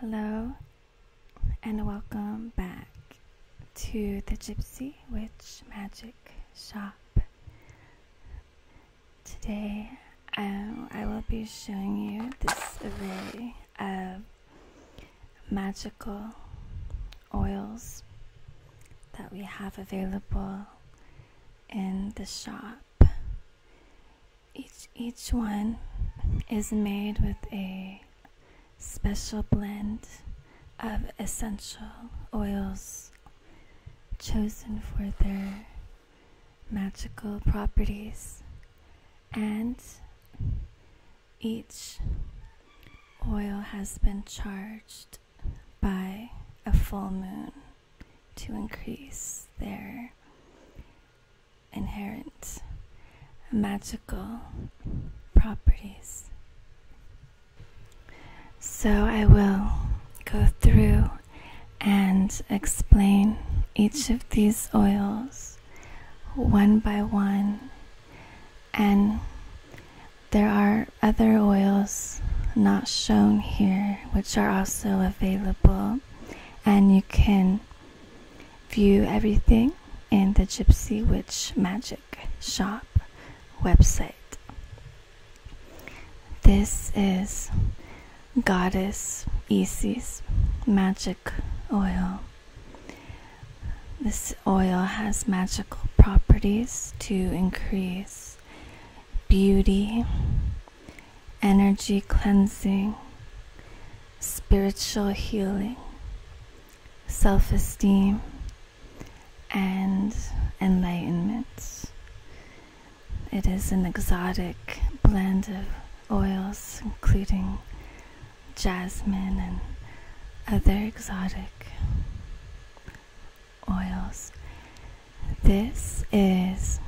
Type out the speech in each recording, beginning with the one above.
Hello, and welcome back to the Gypsy Witch Magic Shop. Today, um, I will be showing you this array of magical oils that we have available in the shop each each one is made with a special blend of essential oils chosen for their magical properties and each oil has been charged by a full moon to increase their inherent magical properties. So I will go through and explain each of these oils one by one and there are other oils not shown here which are also available and you can view everything in the Gypsy Witch Magic Shop website. This is Goddess Isis Magic Oil. This oil has magical properties to increase beauty, energy cleansing, spiritual healing, self esteem, and enlightenment. It is an exotic blend of oils, including jasmine and other exotic oils this is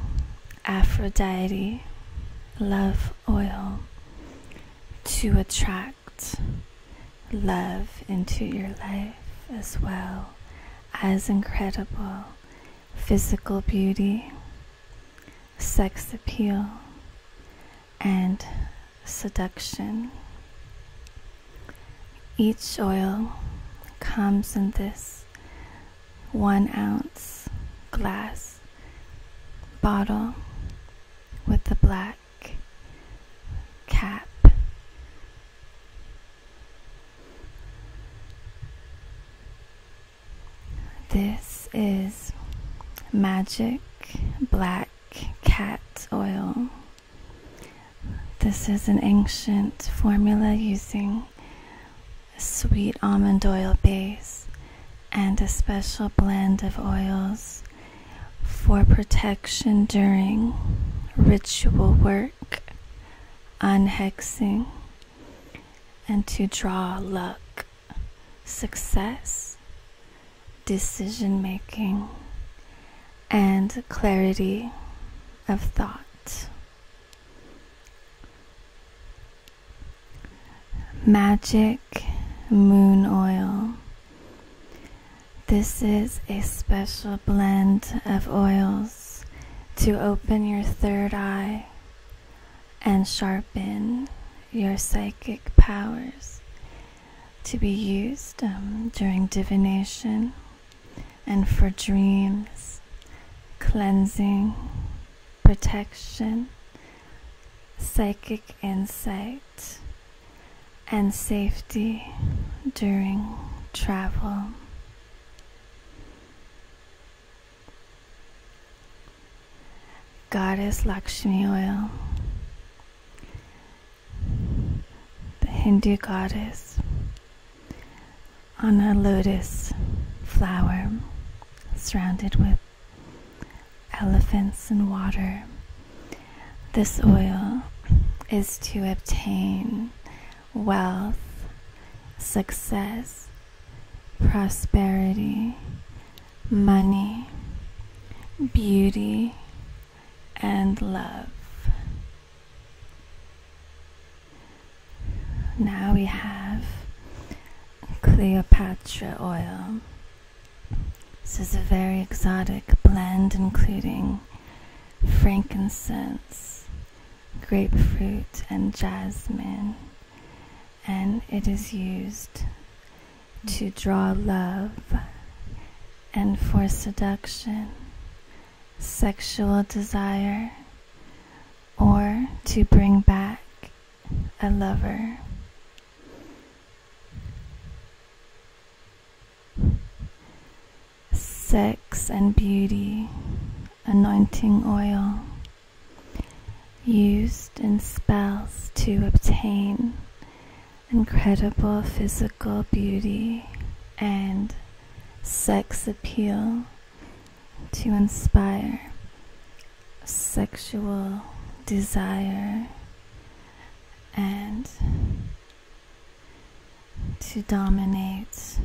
Aphrodite Love Oil to attract love into your life as well as incredible physical beauty, sex appeal, and seduction. Each oil comes in this one ounce glass bottle with the black cap. This is magic black cat oil. This is an ancient formula using a sweet almond oil base, and a special blend of oils for protection during ritual work, unhexing, and to draw luck, success, decision making, and clarity of thought. Magic Moon Oil. This is a special blend of oils to open your third eye and sharpen your psychic powers to be used um, during divination and for dreams, cleansing, protection, psychic insight, and safety during travel. Goddess Lakshmi oil, the Hindu goddess on a lotus flower surrounded with elephants and water. This oil is to obtain wealth, success, prosperity, money, beauty, and love. Now we have Cleopatra oil. This is a very exotic blend including frankincense, grapefruit, and jasmine, and it is used to draw love and for seduction sexual desire or to bring back a lover. Sex and beauty, anointing oil used in spells to obtain incredible physical beauty and sex appeal to inspire sexual desire and to dominate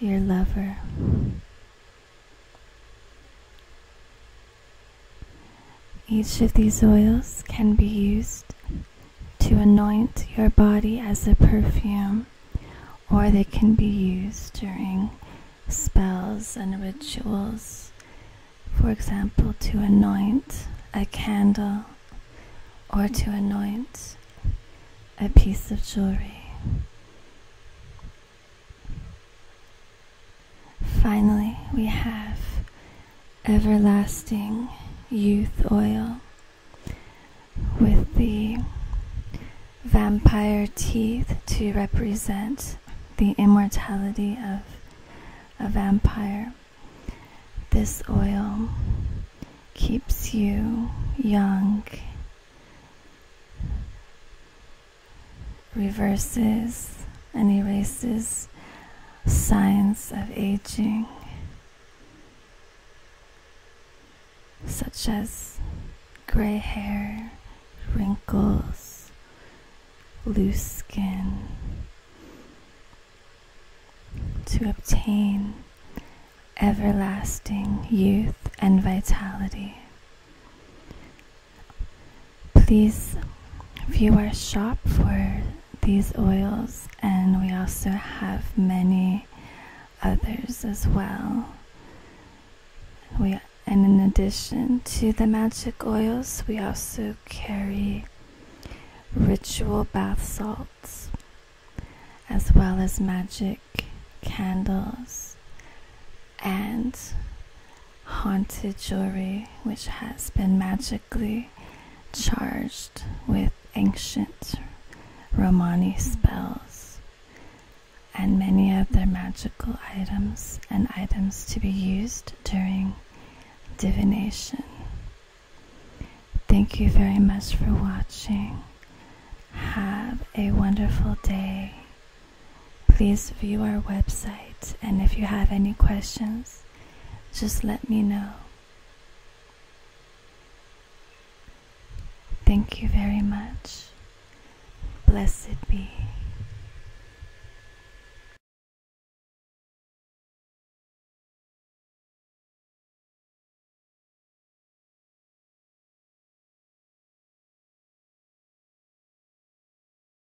your lover. Each of these oils can be used to anoint your body as a perfume, or they can be used during spells and rituals. For example, to anoint a candle or to anoint a piece of jewelry. Finally, we have everlasting youth oil with the vampire teeth to represent the immortality of a vampire. This oil keeps you young, reverses and erases signs of aging, such as gray hair, wrinkles, loose skin, to obtain everlasting youth and vitality. Please view our shop for these oils, and we also have many others as well. We, and in addition to the magic oils, we also carry ritual bath salts, as well as magic candles and haunted jewelry, which has been magic charged with ancient Romani spells and many of their magical items and items to be used during divination. Thank you very much for watching. Have a wonderful day. Please view our website and if you have any questions, just let me know. Thank you very much. Blessed be.